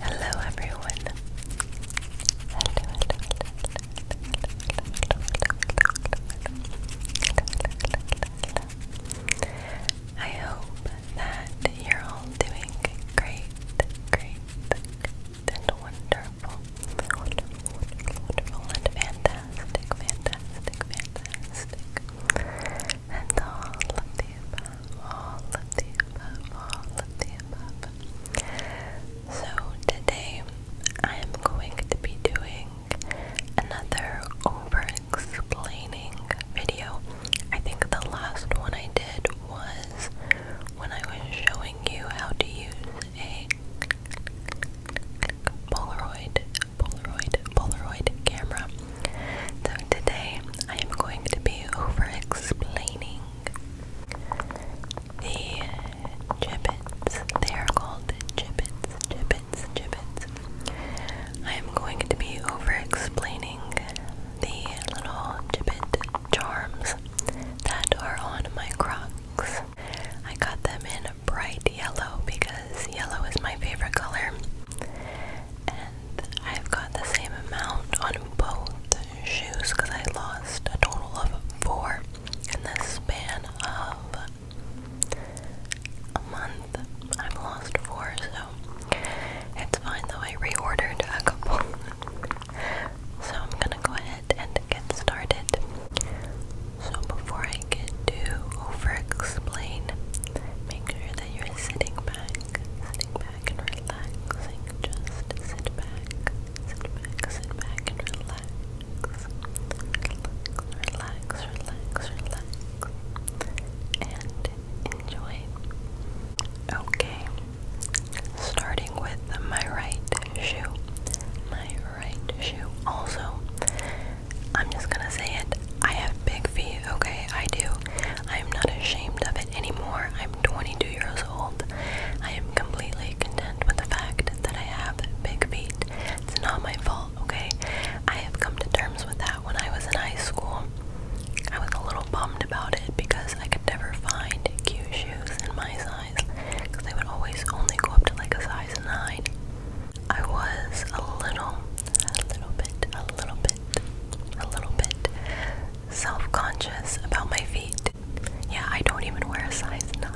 Hello everyone. I hope that you're all doing great, great, and wonderful, wonderful, wonderful and fantastic, fantastic, fantastic and all of the above, all of the above, all of the above. So today I am going to be doing another over explaining video. I think the last one I did was when I was showing you how to use a Polaroid, Polaroid, Polaroid camera. So today I am going to be over explaining the gibbets. They are called gibbets, gibbets, gibbets. I am going to be over explaining the little gibbet charms that are on my Crocs. I got them in bright yellow because yellow is my favorite color and I've got the same amount on both shoes because I lost a total of four in the span of a month. I've lost four, so it's fine though. I reordered a couple. so I'm gonna go ahead and get started. So before I get to over explain, make sure that you're sitting back, sitting back and relaxing. Just sit back, sit back, sit back and relax. Relax, relax, relax, relax. And enjoy. Okay. Starting with my right shoe. My right shoe. Also, I'm just gonna say it. I have big feet, okay? I do. I'm not ashamed of it anymore. I'm 22 years old. I am completely content with the fact that I have big feet. It's not my fault, okay? I have come to terms with that when I was in high school. I was a little bummed about it because I could never find cute shoes in my size because they would always only go up to like a size 9. I was a little, a little bit, a little bit bit, a little bit self-conscious about my feet. Yeah, I don't even wear a size 9.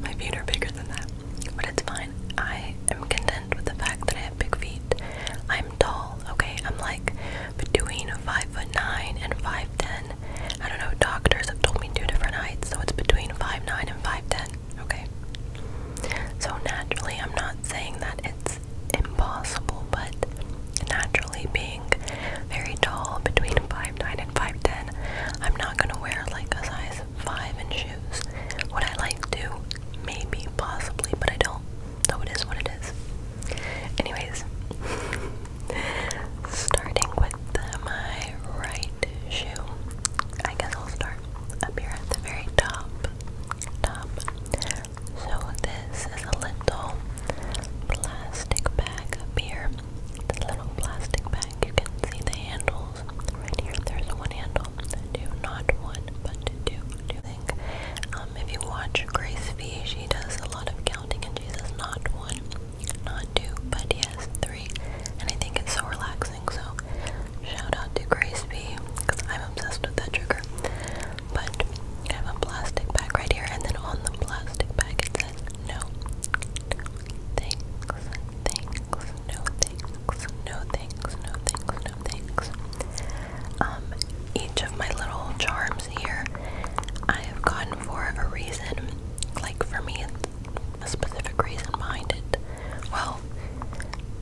My feet are bigger than that. But it's fine. I am content with the fact that I have big feet. I'm tall, okay? I'm like between five foot nine and 5'10. I don't know, doctors have told me two different heights, so it's between five nine and 5'10, okay? So naturally, I'm not saying that it's impossible, but naturally being very tall, between five nine and 5'10, I'm not gonna wear like a size 5 in shoes. What I like to? Maybe, possibly, but I don't. So it is what it is. Anyways, starting with my right shoe, I guess I'll start up here at the very top. Top so this is a little plastic bag up here. This little plastic bag, you can see the handles right here. There's one handle, two, not one, but two. Do you think? Um, if you watch Grace V, she does a lot of counting, and she says not one, not two, but yes, three. And I think it's so relaxing. So shout out to Grace V because I'm obsessed with that trigger. But I have a plastic bag right here, and then on the plastic bag it says no thanks, thanks, no thanks, no thanks, no thanks, no thanks. Um, each of my little charms here I have gone for a reason. Like for me, it's a specific reason behind it. Well,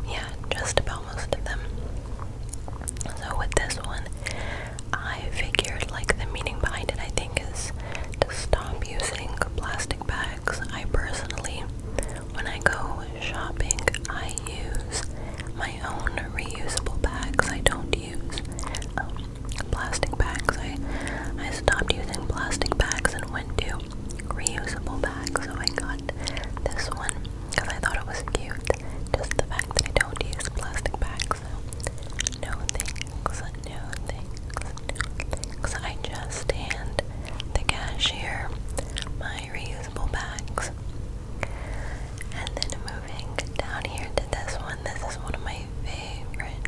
yeah, just about most of them. So with this one, I figured like the meaning behind it I think is to stop using plastic bags. I personally, when I go shopping, I use my own reusable bags. I don't use um, plastic bags. I I stopped using plastic bags and went to reusable bags. So I got this one because I thought it was cute. Just the fact that I don't use plastic bags. So no things, no things, no I just hand the cashier my reusable bags. And then moving down here to this one. This is one of my favorite,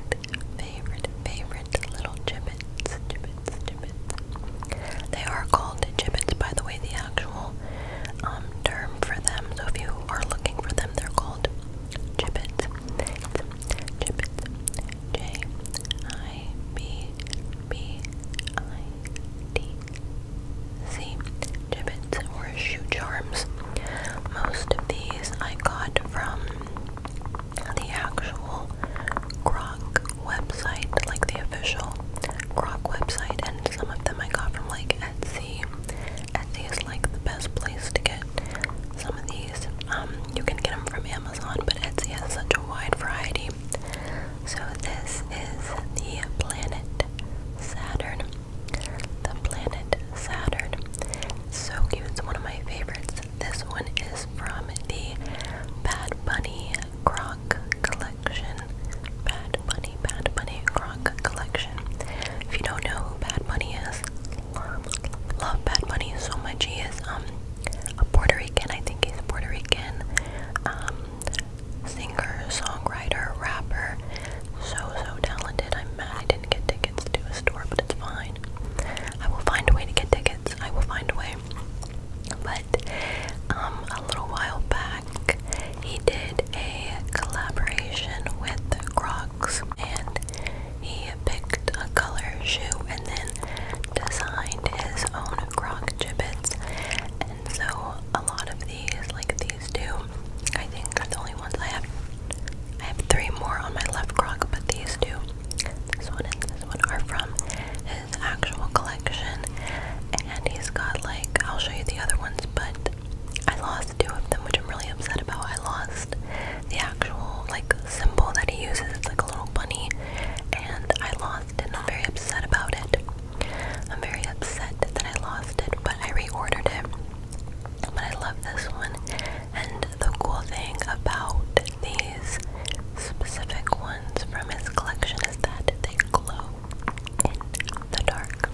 favorite, favorite little gibbets. Gibbets, gibbets. They are called gibbets, by the way. The actual um, term for them. So if you are looking for them, they're called gibbets. Gibbets. J I B B I D C. Gibbets or shoe charms. Most of these I got from the actual Croc website, like the official Croc website, and some of them I got from like Etsy Etsy. is like the best place to get some of these. Um, you can get them from Amazon, but Etsy has such a wide variety. So this is the planet Saturn. The planet Saturn. So cute. It's one of my favorites. This one is from the Bad Bunny Croc. Collection. Bad Bunny, Bad Bunny Croc collection. If you don't know who Bad Bunny is, love, Bad Bunny so much. He is um a Puerto Rican, I think he's a Puerto Rican um singer, songwriter, rapper. So so talented. I'm mad I didn't get tickets to his store, but it's fine. I will find a way to get tickets. I will find a way. But um a little while back he did a collaboration with Crocs and he picked a color shoe and then designed his own Croc gibbets. And so a lot of these, like these two, I think are the only ones I have. I have three more on my left croc, but these two, this one and this one, are from his actual collection. And he's got like, I'll show you the other ones, but I lost two of them, which I'm really upset about. I lost the actual like symbol that he uses. It's like a little bunny, and I lost it. And I'm very upset about it. I'm very upset that I lost it, but I reordered it. But I love this one. And the cool thing about these specific ones from his collection is that they glow the dark.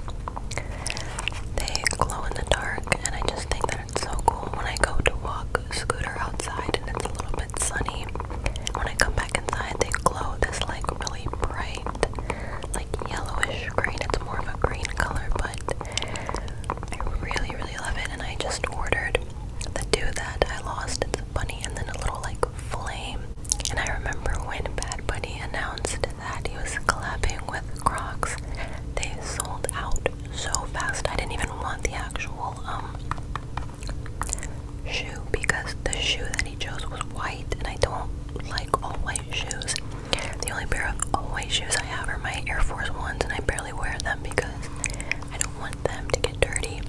They glow in the dark, and I just think that it's so cool. When I go to walk scooter outside and it's a little bit sunny, when I come back inside, they glow this like really bright, like yellowish green. It's more of a green color, but I really, really love it. And I just ordered the do that I lost. It's bunny and then a little like flame and I remember when Bad Bunny announced that he was collabing with Crocs, they sold out so fast. I didn't even want the actual um shoe because the shoe that he chose was white, and I don't like all white shoes. The only pair of all white shoes I have are my Air Force Ones, and I barely wear them because I don't want them to get dirty.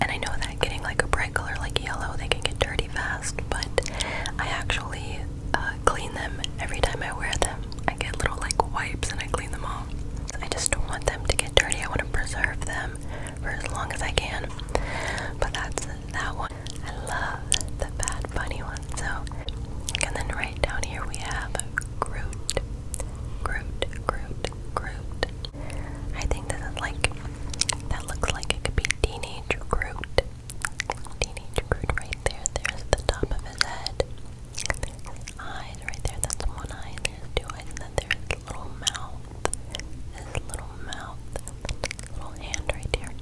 And I know that getting like a bright color like yellow, they can get dirty fast but I actually uh, clean them every time I wear them. I get little like wipes and I clean them off. I just don't want them to get dirty. I want to preserve them for as long as I can. But that's that one. I love the Bad Bunny one. So, and then right down here we have Groot, Groot, Groot, Groot. I think this like that looks like it could be teenage Groot. Teenage Groot right there. There's the top of his head. eyes right there. That's one eye. And there's two eyes. And then there's the little mouth. His little mouth. Little hand right here.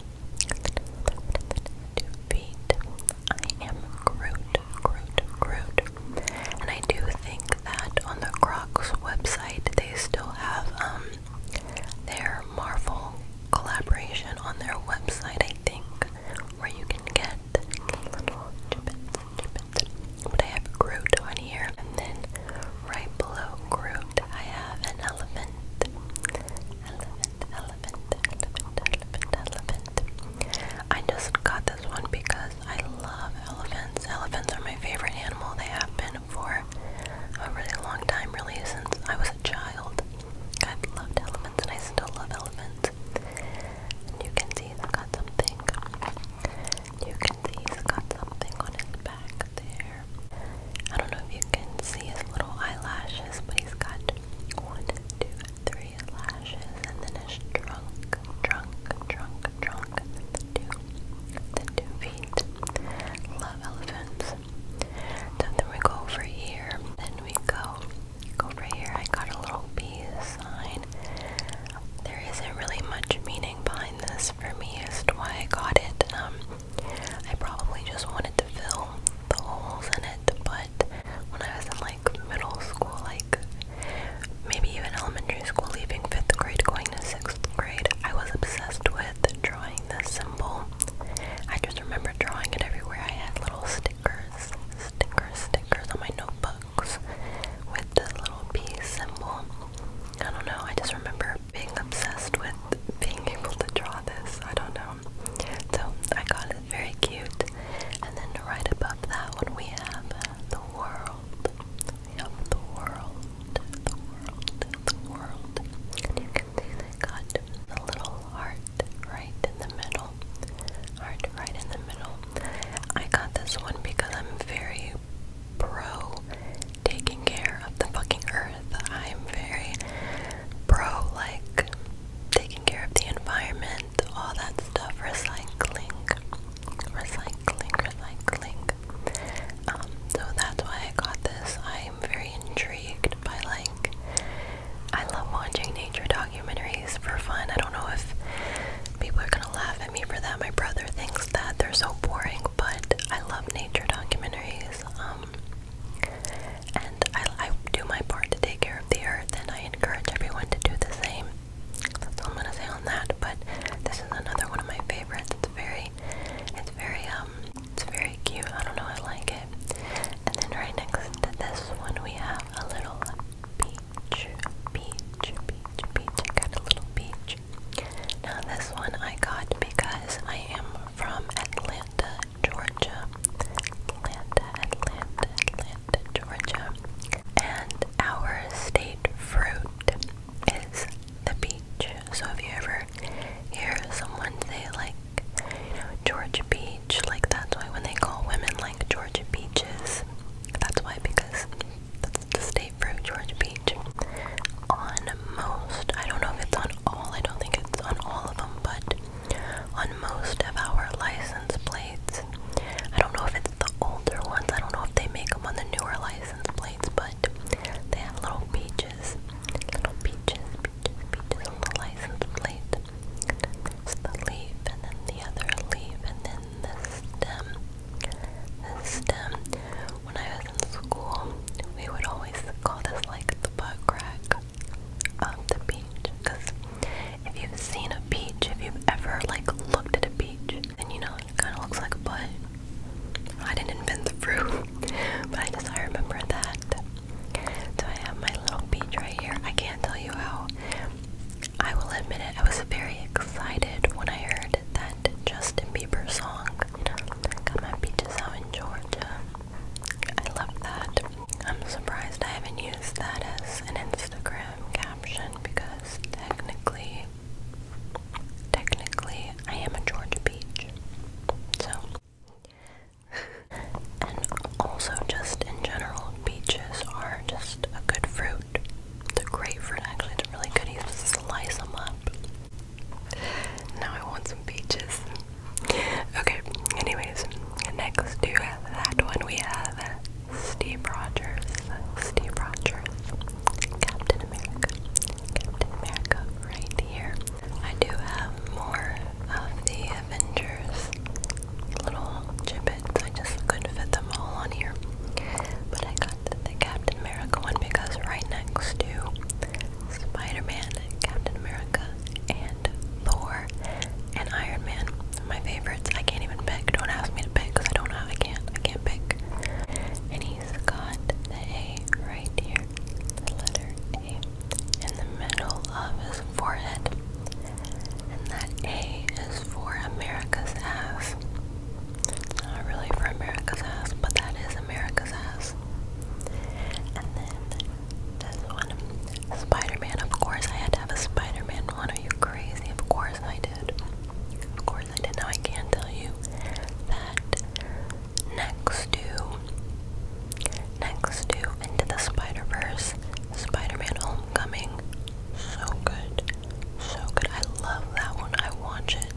Two feet. I am Groot. Groot. Groot. And I do think that on the Crocs website they still have um their Marvel collaboration on their website, I think, where you can get But I have Groot on here, and then right below Groot, I have an elephant. Elephant, elephant, elephant, elephant, elephant. I just got this one because I love elephants. Elephants are my favorite animal. They have been for a really long time, really, since I was a child. I've loved elements and I still love elements. And you can see it's got something. You can see it's got something on his back there. I don't know if you can see his little eyelashes, but he's got one, two, three lashes, and then his trunk, trunk, trunk, trunk, two, the two feet. Love elephants then we go over here. Then we go go over here. I got a little peace sign. There isn't really much meaning behind this for me as to why I got it. Um, I probably just wanted to fill the holes in it, but when I was in like middle school, like maybe even elementary school, leaving fifth grade, going to sixth grade, I was obsessed with drawing drawing symbol. I just remember drawing it everywhere. I had little stickers, stickers, stickers on my notebooks with the little P symbol. I don't know, I just remember being obsessed with being able to draw this. I don't know. So I got it very cute. And then right above that one we have the world. We have the world. The world. The world got the little heart right in the middle. Heart right in the middle. I got this one because I'm very pro taking care of the fucking earth. I'm very pro, like, taking care of the environment, all that stuff, recycling, recycling, recycling. Um, so that's why I got this. I'm very intrigued by like I love watching nature documentaries for fun. I don't know if people are gonna laugh at me for that. My brother thinks that they're so boring, but I love nature documentaries. Um, and I, I do my part to take care of the earth, and I encourage everyone to do the same. That's all I'm gonna say on that. But this is another one of my favorites. It's very, it's very um it's very cute. I don't know, I like it. And then right next to this one we have a little beach, beach, beach, beach. got a little peach. Now this one I got because I am from Atlanta, Georgia. Atlanta, Atlanta, Atlanta, Georgia. And our state fruit is the peach. So if you ever hear someone say like like, you know, Georgia Beach. Like, that's why when they call women like Georgia Beaches, that's why, because that's the state fruit, Georgia Beach. On most, I don't know if it's on all, I don't think it's on all of them, but on most of our license plates, I don't know if it's the older ones, I don't know if they make them on the newer license plates, but they have little beaches. Little beaches, the license plate. the leaf, and then the other leaf, and then the stem. The stem. When I was in school, we would always call this like the butt crack of the beach. Because if you've seen a beach, if you've ever like looked at a beach, then you know it kind of looks like a butt. I didn't invent the fruit, but I just I remember that so I have my little beach right here. I can't tell you how. I will admit it, I was very excited when I heard that Justin Bieber song. Got my beaches out in Georgia. I love that. I'm surprised I haven't used that as an Instagram caption because technically, technically, I am a Georgia beach. So, and also just in general, peaches are just a good fruit. The grapefruit actually is really good. You just slice them up. Now I want some peaches. Okay, anyways, next to that one we have Steve Rogers. Steve Rogers. Captain America. Captain America right here. I do have more of the Avengers little gibbets. I just couldn't fit them all on here. But I got the, Captain America one because right next to Spider-Man, Captain America, and Thor and Iron Man, my favorites. I can't even pick. Don't ask me to pick because I don't know. I can't. I can't pick. And he's got the A right here. The letter A in the middle of his forehead, and that A is for America's ass. Not really for America's ass, but that is America's ass. And then this one, Spider Man. Of course, I had to have a Spider Man one. Are you crazy? Of course I did. Of course I did. Now I can tell you that next to Next to Into the Spider-Verse, Spider-Man Homecoming. So good. So good. I love that one. I watch it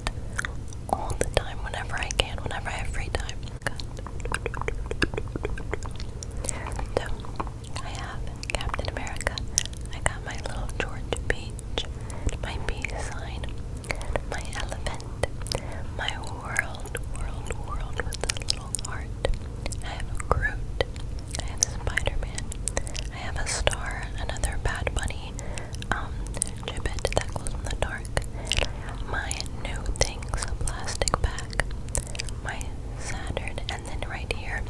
all the time whenever I can, whenever I have free time. So, I have Captain America. I got my little George Beach. my peace sign, my elephant, my world world, world, with a little heart. I have a Groot. I have Spider-Man. I have a star, another bad bunny, um, gibbet that glows in the dark. My new things, a plastic bag. My Saturn, and then right here,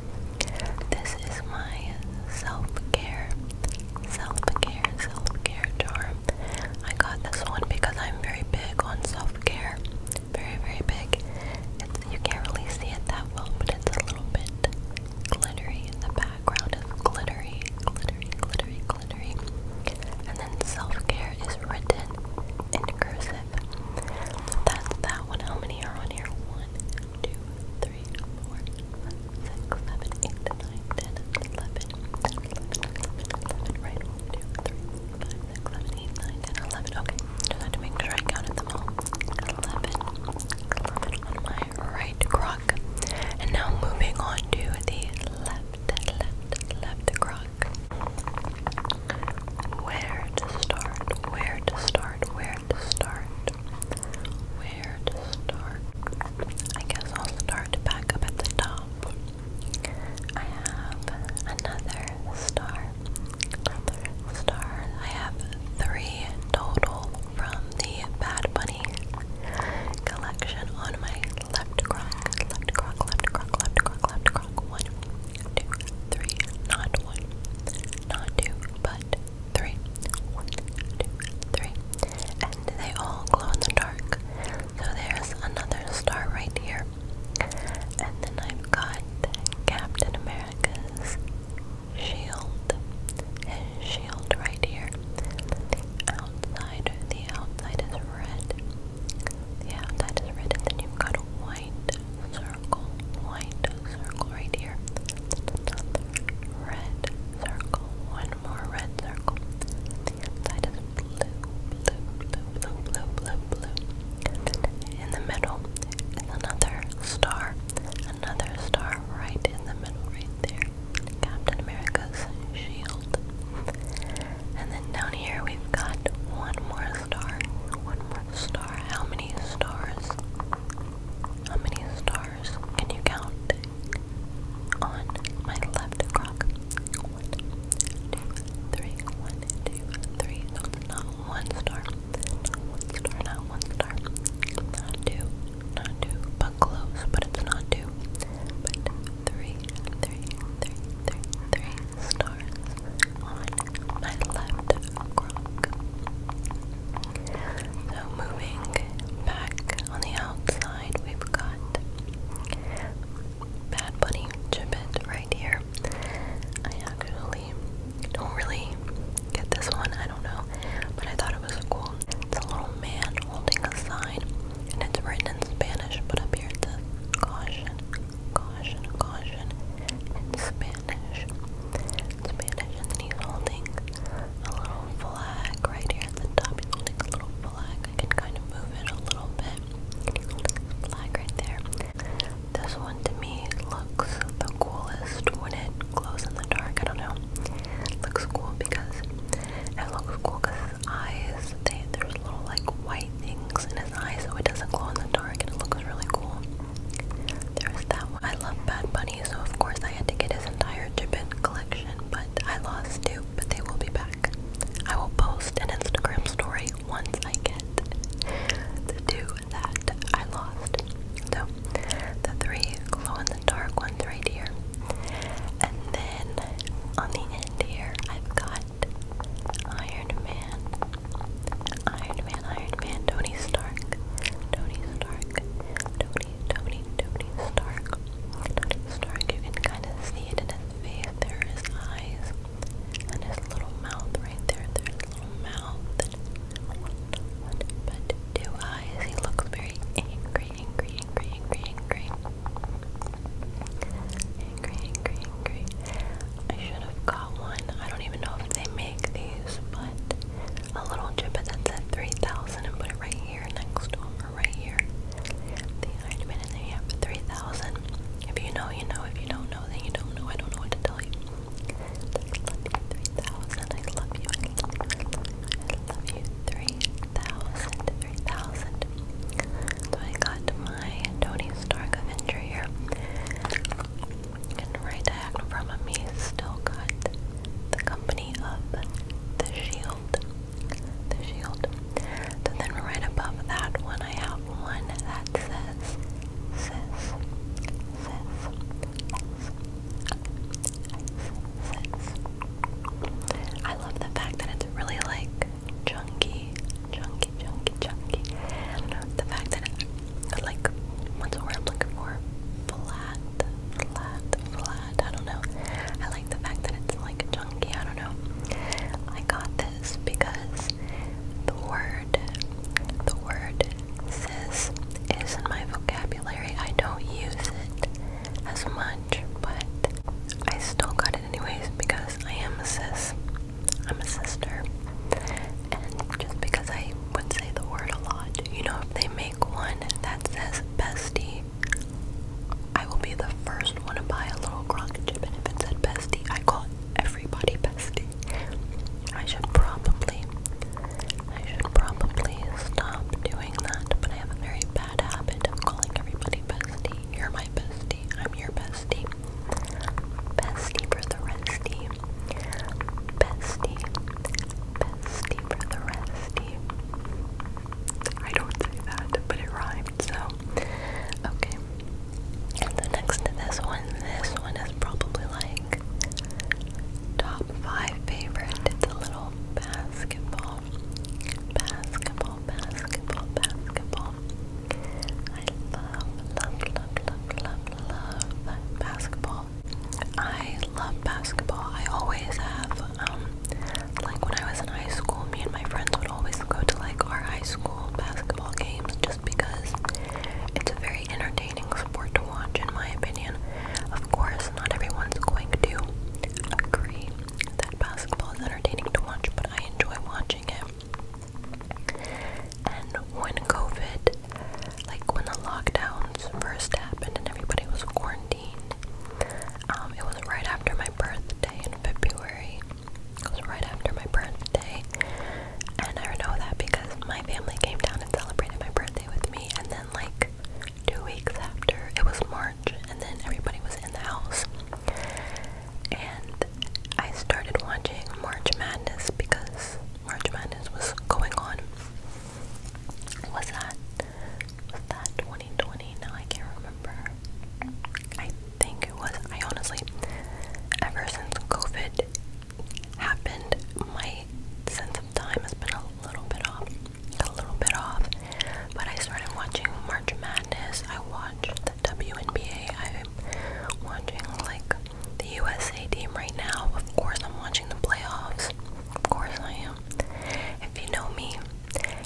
this is my self-care, self-care, self-care jar. I got this one because I'm very big on self-care very, very big. It's, you can't really see it that well, but it's a little bit glittery. In the background is glittery, glittery, glittery, glittery. And then self-care is written in cursive. That's that one. How many are on here? One, two, three, four, five, six, seven, eight, nine, ten, eleven right? 1, Okay, just have to make sure I counted them all. 11 on my right croc. And now moving on to the left, left, left croc. Where to start? Where to start? Where to start? Where to start? I guess I'll start back up at the top. I have another star. Another star. I have three total from the Bad Bunny collection on my left crock. Left crock, left crock, left crock, left crock. One, two, three. Not one, not two, but three. One, two, three. And they all glow in the dark. So there's another star right here. And then I've got Captain America's shield. His shield right here. The outside, the outside is red. The outside red, and then you've got a white circle, white circle right here. red circle, one more red circle. outside is blue, blue, blue, blue, blue, blue. In the middle is another star. Another star right in the middle, right there. Captain America's shield. And then down here we've got one more star. One more star. How many stars? How many stars can you count on my left croc? two, three, one, two, three. not one star. one star, not one star. Not two, not two, but close, but it's not two. three, three, three, three, three stars on my left crook. So moving back on the outside, we've got Bad Bunny Chip It right here. I actually don't really get this one, I don't know, but I thought it was cool. It's a little man holding a sign, and it's written in Spanish, but up here it says caution, caution, caution in Spanish. Spanish, and then he's holding a little flag right here at the top. He's holding a little flag. I can kind of move it a little bit. Can right there? This one to me looks the coolest when it glows in the dark. I don't know. It looks cool because it looks cool because his eyes, there's little like white things in his eyes so it doesn't glow in the dark and it looks really cool. There's that one. I love Bad Bunny so of course I had to get his entire Jibbit collection but I lost two but they will be back. I will post an Instagram story once I get the two that I lost. So, the three glow in the dark ones right here. And then on the end here, I've got Iron Man. Iron Man, Iron Man, Tony Stark. Tony Stark. Tony, Tony, Tony Stark. Tony Stark. You can kind of see it in his face. There eyes. And his little mouth right there, there's a little mouth. but two eyes. He looks very angry, angry, angry, angry, angry. Angry, angry, angry. I should have got one. I don't even know if they make these, but a little gibbet that said 3000 and put it right here next to him, or right here. The Iron Man, and then 3000. If you know, you know. If you don't know, know you don't know. I don't know what to tell you. I love you 3,000. I love you. I love you. 3,000. 3,000. So I got my Tony Stark Avenger here. And right diagonal from me still got the company of the shield. The shield. And then right above that one, I have one that says sis, sis, sis, sis. I love the fact that it's really like chunky, chunky, chunky, chunky. the fact that it, like, what's the word I'm looking for? Flat, flat, flat. I don't know. I like the fact that it's like chunky. I don't know. I got this because the word, the word cis is in my vocabulary. I don't use it as much, but I still got it anyways because I am a cis. I'm a sister. And just because I would say the word a lot, you know, if they make one that says bestie, I will be the first one to buy a little crock chip. And if it said bestie, I call it everybody bestie. I should probably I should probably stop doing that, but I have a very bad habit of calling everybody bestie. You're my bestie. I'm your bestie. Bestie for the restie. Bestie. Bestie for the restie. I don't say that, but it rhymed, so Okay. And next to this one, this one is probably like top five favorite. It's a little basketball. Basketball, basketball, basketball. I love, love, love, love, love, love basketball. I love basketball. I always have, um, like when I was in high school, me and my friends would always go to like our high school basketball games just because it's a very entertaining sport to watch, in my opinion. Of course, not everyone's going to agree that basketball is entertaining to watch, but I enjoy watching it. And when COVID, like when the lockdowns first happened and everybody was quarantined, um, it was right after my birthday in February. It was right after my birthday, and I know that because my family came down and celebrated my birthday with me, and then like two weeks after, it was March, and then everybody was in the house, and I started watching March Madness because March Madness was going on. Was that was that 2020? No, I can't remember think it was. I honestly, ever since COVID happened, my sense of time has been a little bit off. A little bit off. But I started watching March Madness. I watched the WNBA. I'm watching like the USA team right now. Of course, I'm watching the playoffs. Of course, I am. If you know me,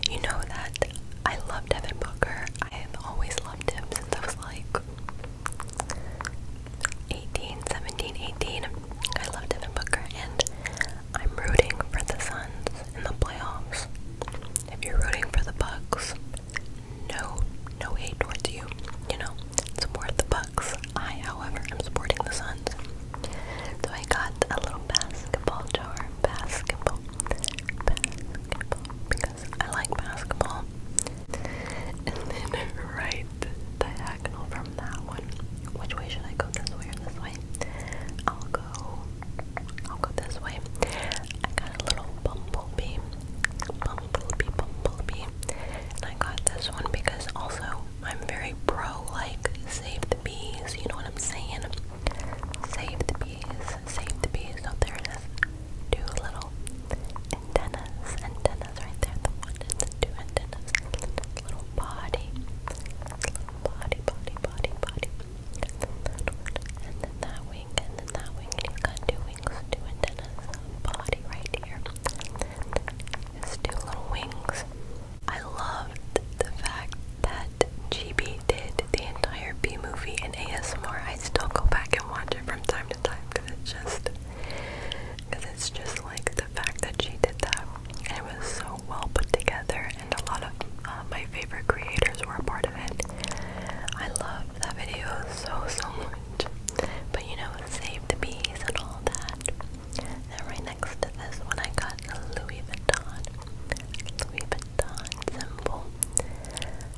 you know that I love Devin Booker. I have always loved him since I was like 18, 17, 18. I love Devin Booker, and I'm rooting for the Suns and the playoffs. If you're rooting for the Bucks, no, no hate towards you. You know, it's more the Bucks. I, however, i am supporting the Suns. So I got a little basketball jar, basketball, basketball, I like basketball. And then right diagonal from that one. Which way should I go? This way or this way? I'll go I'll go this way. I got a little bumblebee. Bumblebee, bumblebee. And I got this one because also I'm very pro like save the bees, you know what I'm saying? Save the bees, save the bees. So there it is. Two little antennas, antennas right there, the one and the two antennas, the little body, the little body, body, body, body, and then that wing, and then that wing, and he's got two wings, two antennas, body right here, his two little wings. I loved the fact that GB did the entire B movie in ASMR. I still go back and watch it from time to time because it's just because it's just like the fact that she did that it was so well put together and a lot of uh, my favorite creators were a part of it. I loved that video so so much. But you know, save the bees and all that. Now right next to this one I got Louis Vuitton. Louis Vuitton symbol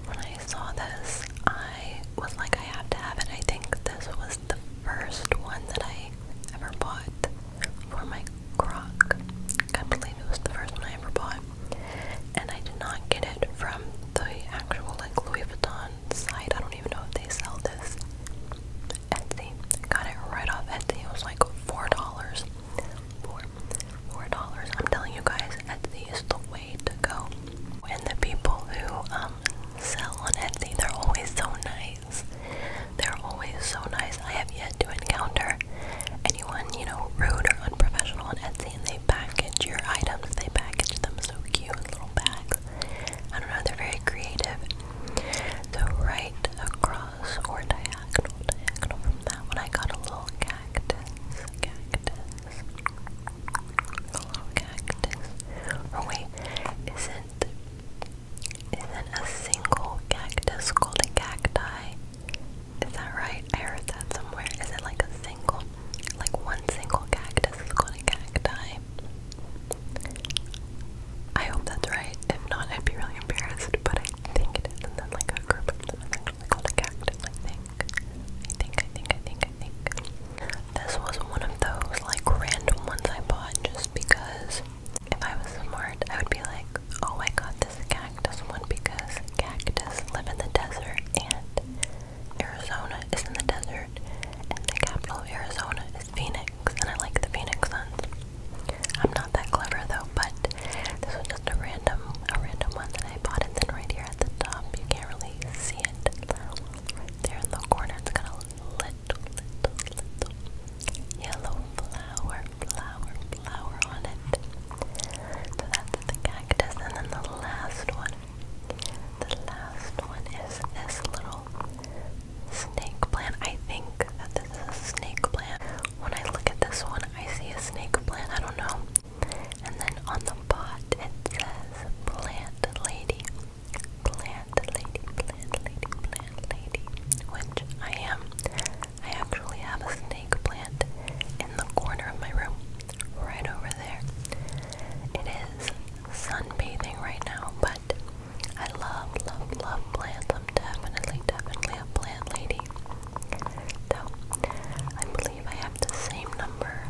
when I saw this, I was like, I have to have it. I think this was the first one that I ever bought for my croc. I believe it was the first one I ever bought. And I did not get it from the actual like Louis Vuitton site. I don't even know if they sell this. Etsy. I got it right off Etsy. It was like four dollars. Four. Four dollars. I'm telling you guys, Etsy is the way to go. And the people who um, sell on Etsy, they're always so nice. They're always so nice. I have yet to encounter anyone, you know, rude or unprofessional on Etsy, and they package your items. They package them so cute in little bags. I don't know, they're very creative. The right across or diagonal, diagonal from that one, I got a little cactus. Cactus. Hello, cactus. Or oh, wait, isn't isn't a single cactus called a cacti? Is that right? I heard that somewhere. Is it like a single, like one single cactus is called a cacti? I hope that's right. If not, I'd be really embarrassed. But I think it is. then like a group of called a cactus, I think, I think, I think, I think. This was one of those like random ones I bought just because if I was smart, I would be like, oh, I got this cactus one because cactus live in the desert and Arizona is in the desert and the capital of Arizona is Phoenix and I like the Phoenix Suns. I'm not that clever though, but this was just a random, a random one that I bought and then right here at the top you can't really see it there in the corner. It's got a little, little yellow flower, flower, flower on it. So that's the cactus. And then the last one, the last one is this little snake plant. I think that this is a snake plant. When I look at this one, I see a snake plant. I don't know. And then on the pot it says plant lady. Plant lady, plant lady, plant lady. Which I am. I actually have a snake plant in the corner of my room. Right over there. It is sunbathing right now, but I love, love, love plants. I'm definitely, definitely a plant lady. So, I believe I have the same number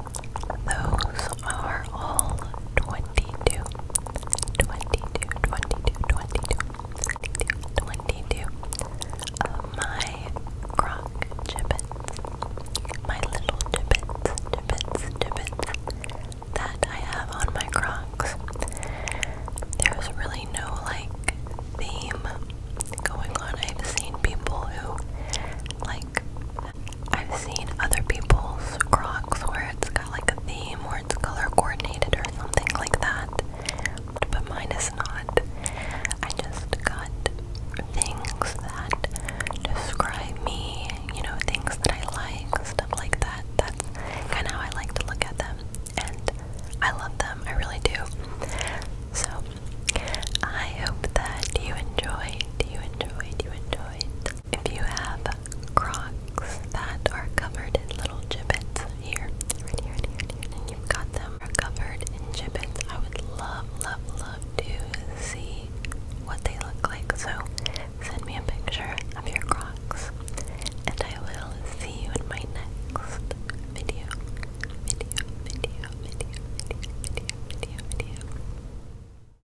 Those are all 22. 22, 22, 22, 22 of uh, my croc gibbets, my little gibbets, gibbets, gibbets that I have on my crocs. There's really no like theme going on. I've seen people who like I've seen other people's Crocs where it's got like a theme or it's color coordinated or something like that, but mine is not. I just got things that describe me, you know, things that I like, stuff like that. That's kind of how I like to look at them, and I love them, I really do. So, I hope that you enjoyed, you enjoyed, you enjoyed if you have crocs that are covered in little gibbets here, here, here, and you've got them covered in gibbets, I would love, love, love to see what they look like. So send me a picture of your crocs and I will see you in my next video. Video, video, video, video, video, video, video.